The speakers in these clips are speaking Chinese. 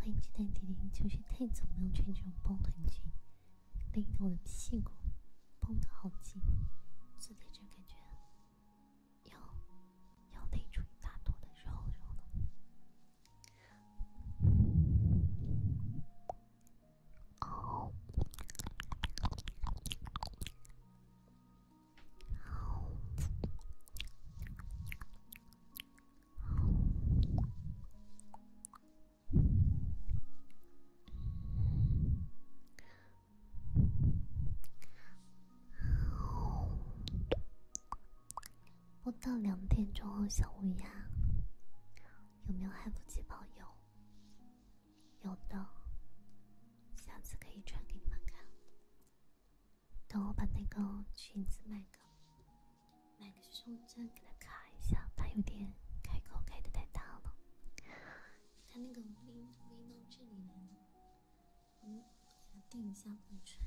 欢迎接待弟弟，就是太早没有穿这种保暖裙，勒得我的屁股绷得好紧，坐在就感觉，要要累出一大坨的肉肉了。哦，哦。播到两点钟哦，小乌鸦，有没有还不及朋友？有的，下次可以穿给你们看。等我把那个裙子买个，买个胸针给它卡一下，它有点开口开的太大了。他那个 V V 到这里来了，我他定一下裤穿。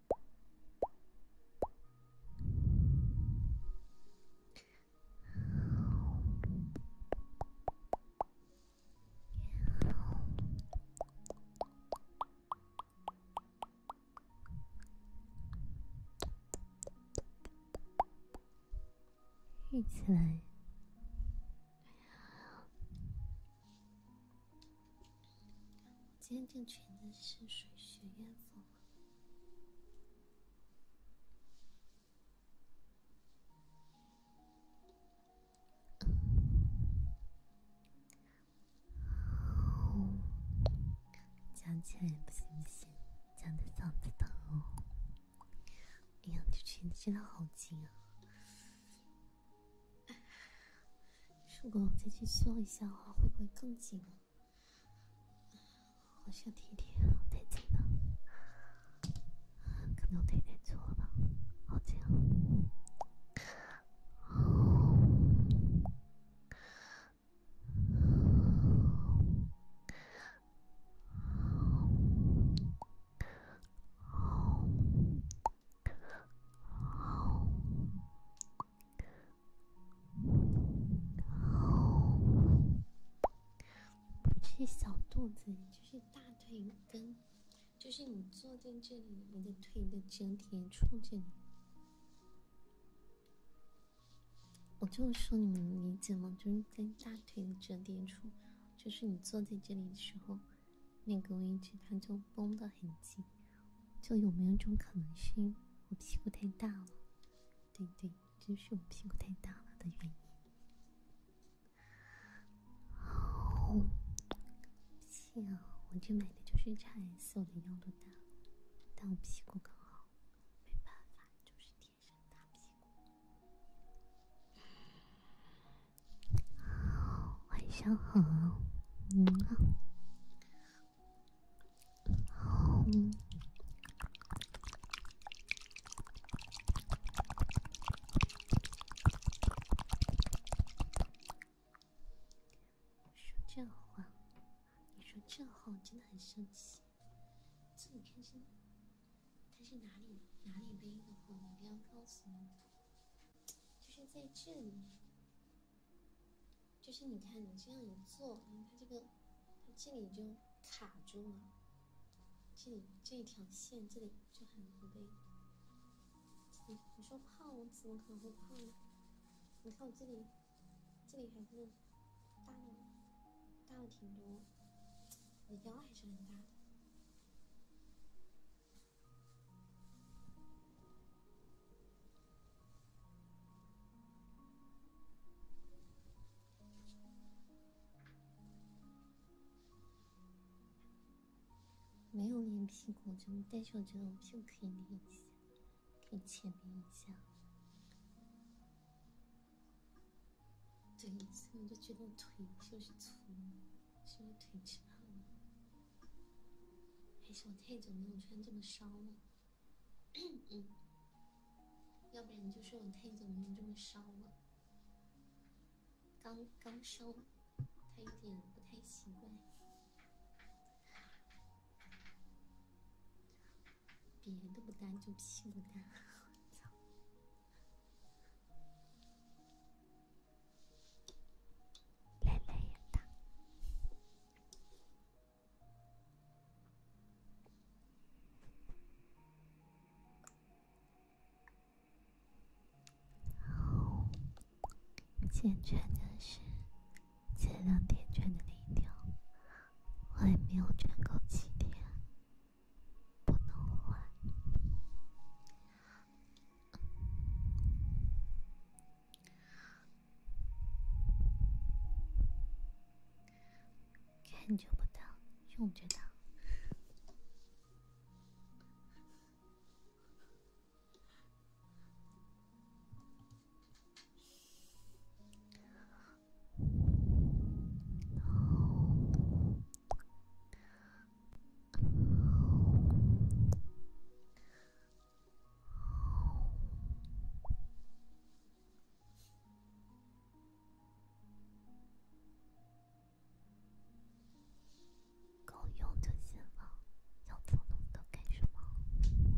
立起来。今天这裙子是水学院风。讲起来不行不行，讲的嗓子疼哦。哎呀，这裙子真的好紧啊！如果我再去修一下的话，会不会更紧？啊？好像滴滴啊，太近了，可能滴滴错了吧，好近啊！不是小肚子，就是大腿根，就是你坐在这里，你的腿的折叠处这里。我就说你们理解吗？就是在大腿的折叠处，就是你坐在这里的时候，那个位置它就绷得很紧。就有没有一种可能性，我屁股太大了？对对，就是我屁股太大了的原因。好，我这买的就是 XS，我的腰多大？但我屁股刚好。没办法，就是天生大屁股。晚上好，嗯。说这话，你说这话，我真的很生气。这你看是，他是哪里哪里背的我你不要告诉我，就是在这里。就是你看你这样一做，你看这个，它这里就卡住了，这里这一条线，这里就很不对。你你说胖，我怎么可能会胖呢？你看我这里，这里还是大了，大了挺多，我腰还是很大。的。没有练屁股，就但是我觉得我屁股可以练一下，可以浅练一下。对，所以我就觉得我腿就是粗了，是不是腿长了？还是我太久没有穿这么烧了，要不然就说我太久没有这么烧了。刚刚烧，他有点不太习惯。别的不大，就屁股大，操，累累的。然后，今天的是前两天穿的那一条，我也没有穿够几天，不能换。看就不到，用就到。够用就行了，要那么多干什么？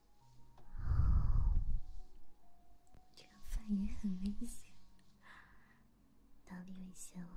这样反也很危险，到底危险了？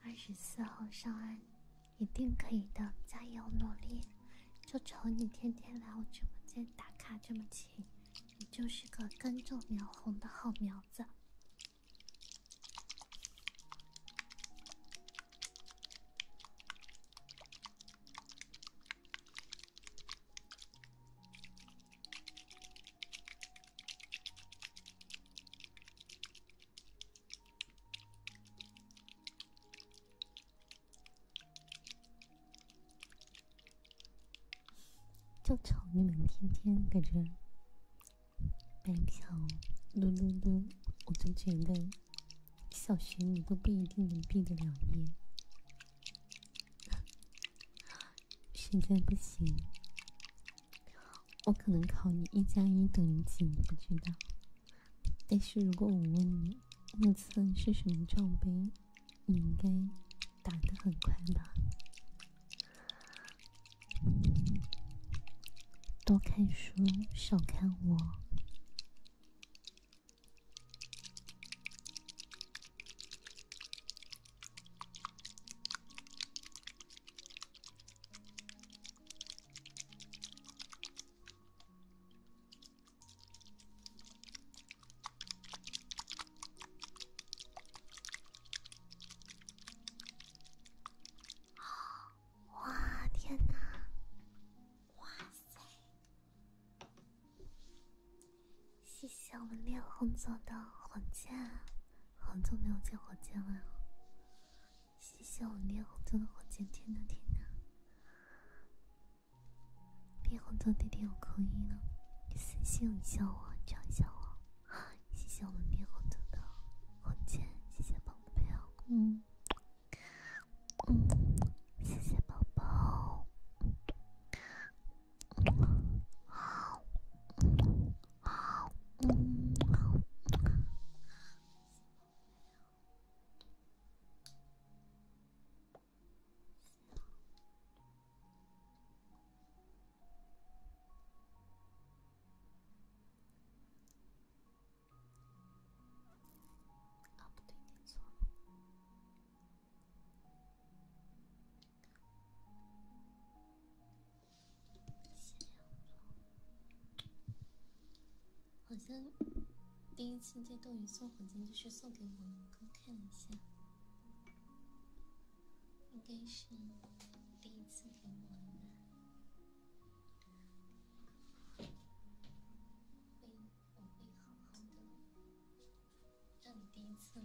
二十四号上岸，一定可以的！加油努力，就瞅你天天来我直播间打卡这么勤，你就是个根正苗红的好苗子。就瞅你们天天，感觉。白嫖，噜噜噜！我就觉得小学你都不一定能毕得了业，实 在不行，我可能考你一加一等于几，你不知道。但是如果我问你目测是什么罩杯，你应该打得很快吧？多看书，少看我。哦，哇天哪，哇塞！谢谢我们烈红做的火箭，好久没有见火箭了。谢谢我们烈红做的火箭，天哪天哪！烈红做弟弟有口音了，私信一下我，找一下我。谢谢我们猕猴桃的红姐，谢谢宝贝嗯嗯，谢谢宝宝，嗯，啊，不对，没错。好像第一次接斗鱼送火箭就是送给我哥，看一下。应该是第一次给吻了，会我会好好的让你第一次吻。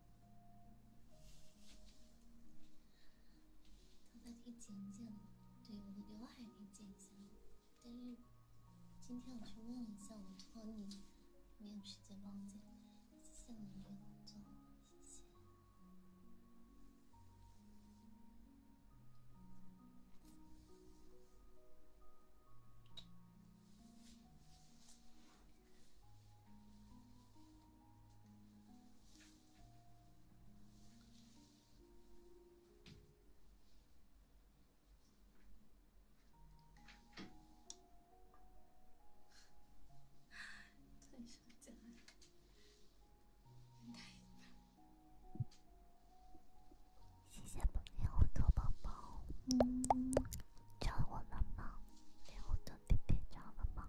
头发可以剪剪了，对，我的刘海可以剪一下。但是今天我去问了一下，我托尼没有时间帮我剪。谢谢你的工作，谢谢。谢谢宝，好多宝宝。嗯。叫我们吗？连我的弟弟叫了吗？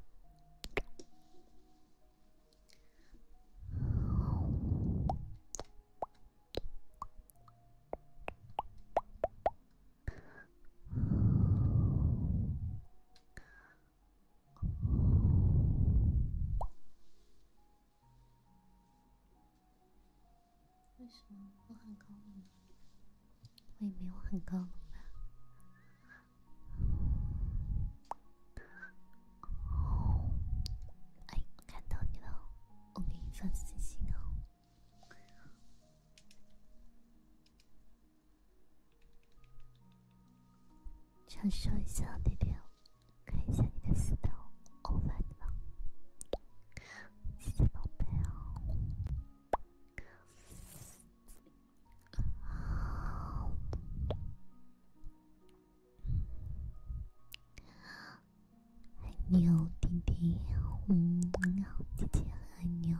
为什么我很高冷？我也没有很高冷吧。哎，看到你了，我给你发私信哦。想说一下那边，看一下你的私聊，我发你吧。谢谢宝贝哦。爱你哦，弟弟。嗯，你好，姐姐，爱你哦。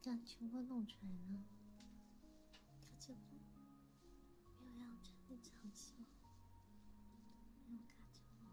咋全部弄出来了？他这吗？又要穿的长袖，毛？没有卡纸吗？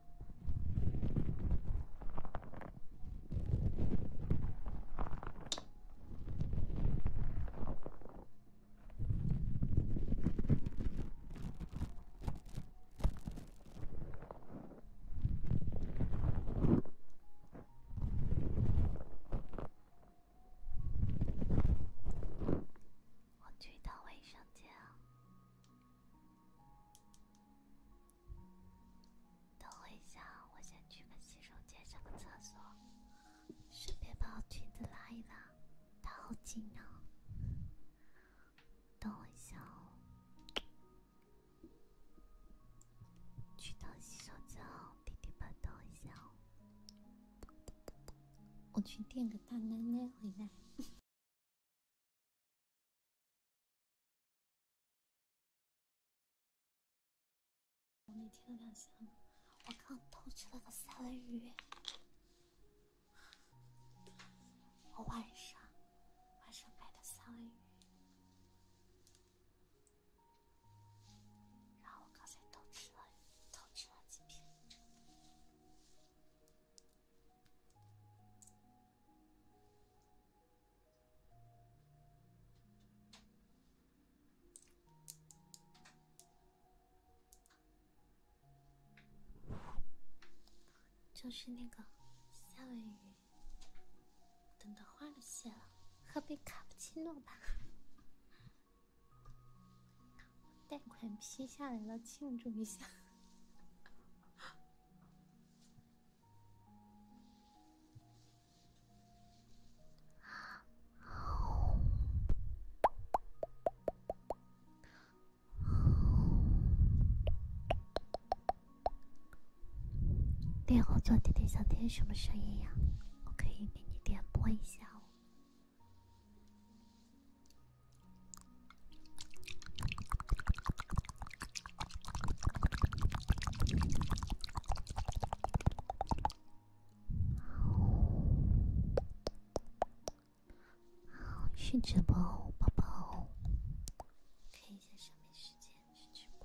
我去趟卫生间。等我一下，我先去个洗手间上个厕所，顺便把我裙子拉一拉，好紧呢。等我一下哦，去趟洗手间，弟弟们等我一下哦，我去垫个大奶奶回来。我那天的两餐，我刚偷吃了个三文鱼。我晚上，晚上买的三文鱼，然后我刚才偷吃了，偷吃了几片。就是那个夏威夷，等等，花都谢了，喝杯卡布奇诺吧。贷款批下来了，庆祝一下。你好，小姐姐，想听什么声音呀？我可以给你点播一下哦。好，好，是直播，宝宝，看一下上面时间，是直播。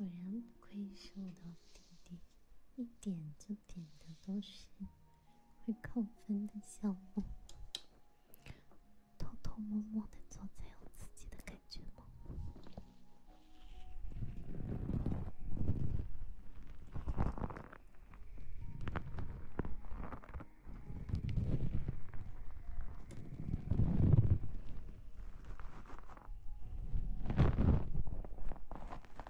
果然不愧是我的弟弟，一点就。点的都是会扣分的项目，偷偷摸摸的做才有自己的感觉吗？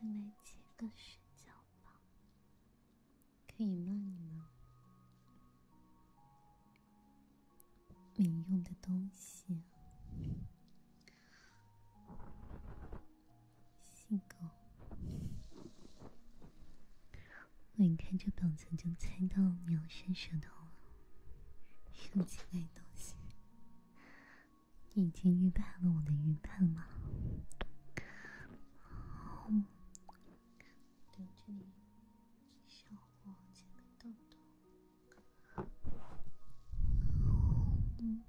会买几个睡觉吧。可以骂你吗？没用的东西，性格，我一看这表情就猜到你要伸舌头了，用奇怪东西，你已经预判了我的预判吗？嗯，留这里，小火前的痘痘。嗯。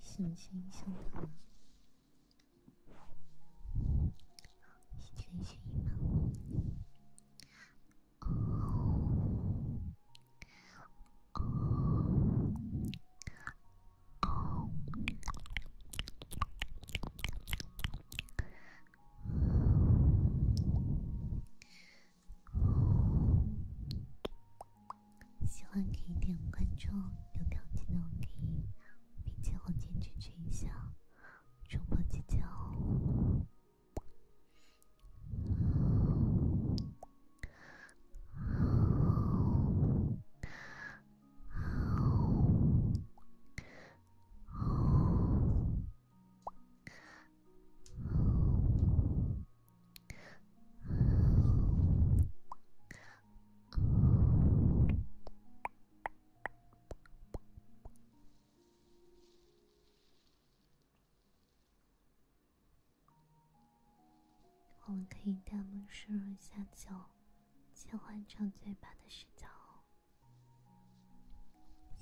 小心，心疼。喜欢可以点关注，有条件的可以并且后金支持一下。周末再见哦。我们可以弹幕输入下酒，切换成嘴巴的视角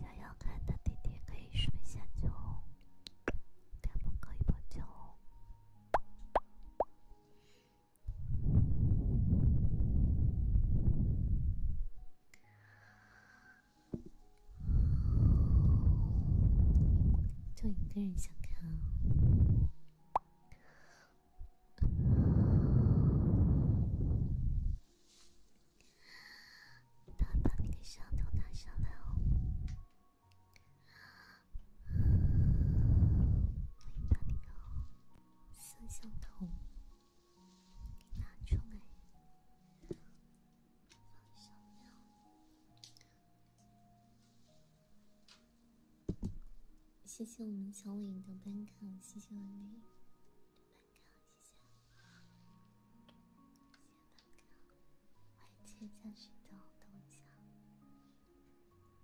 想要看的弟弟可以输入下酒，弹不可以破酒。就一个人想看哦，摄像头，拿出来。谢谢我们小伟的班卡，谢谢我们的班卡，谢谢。先办卡，我还去下洗澡，等我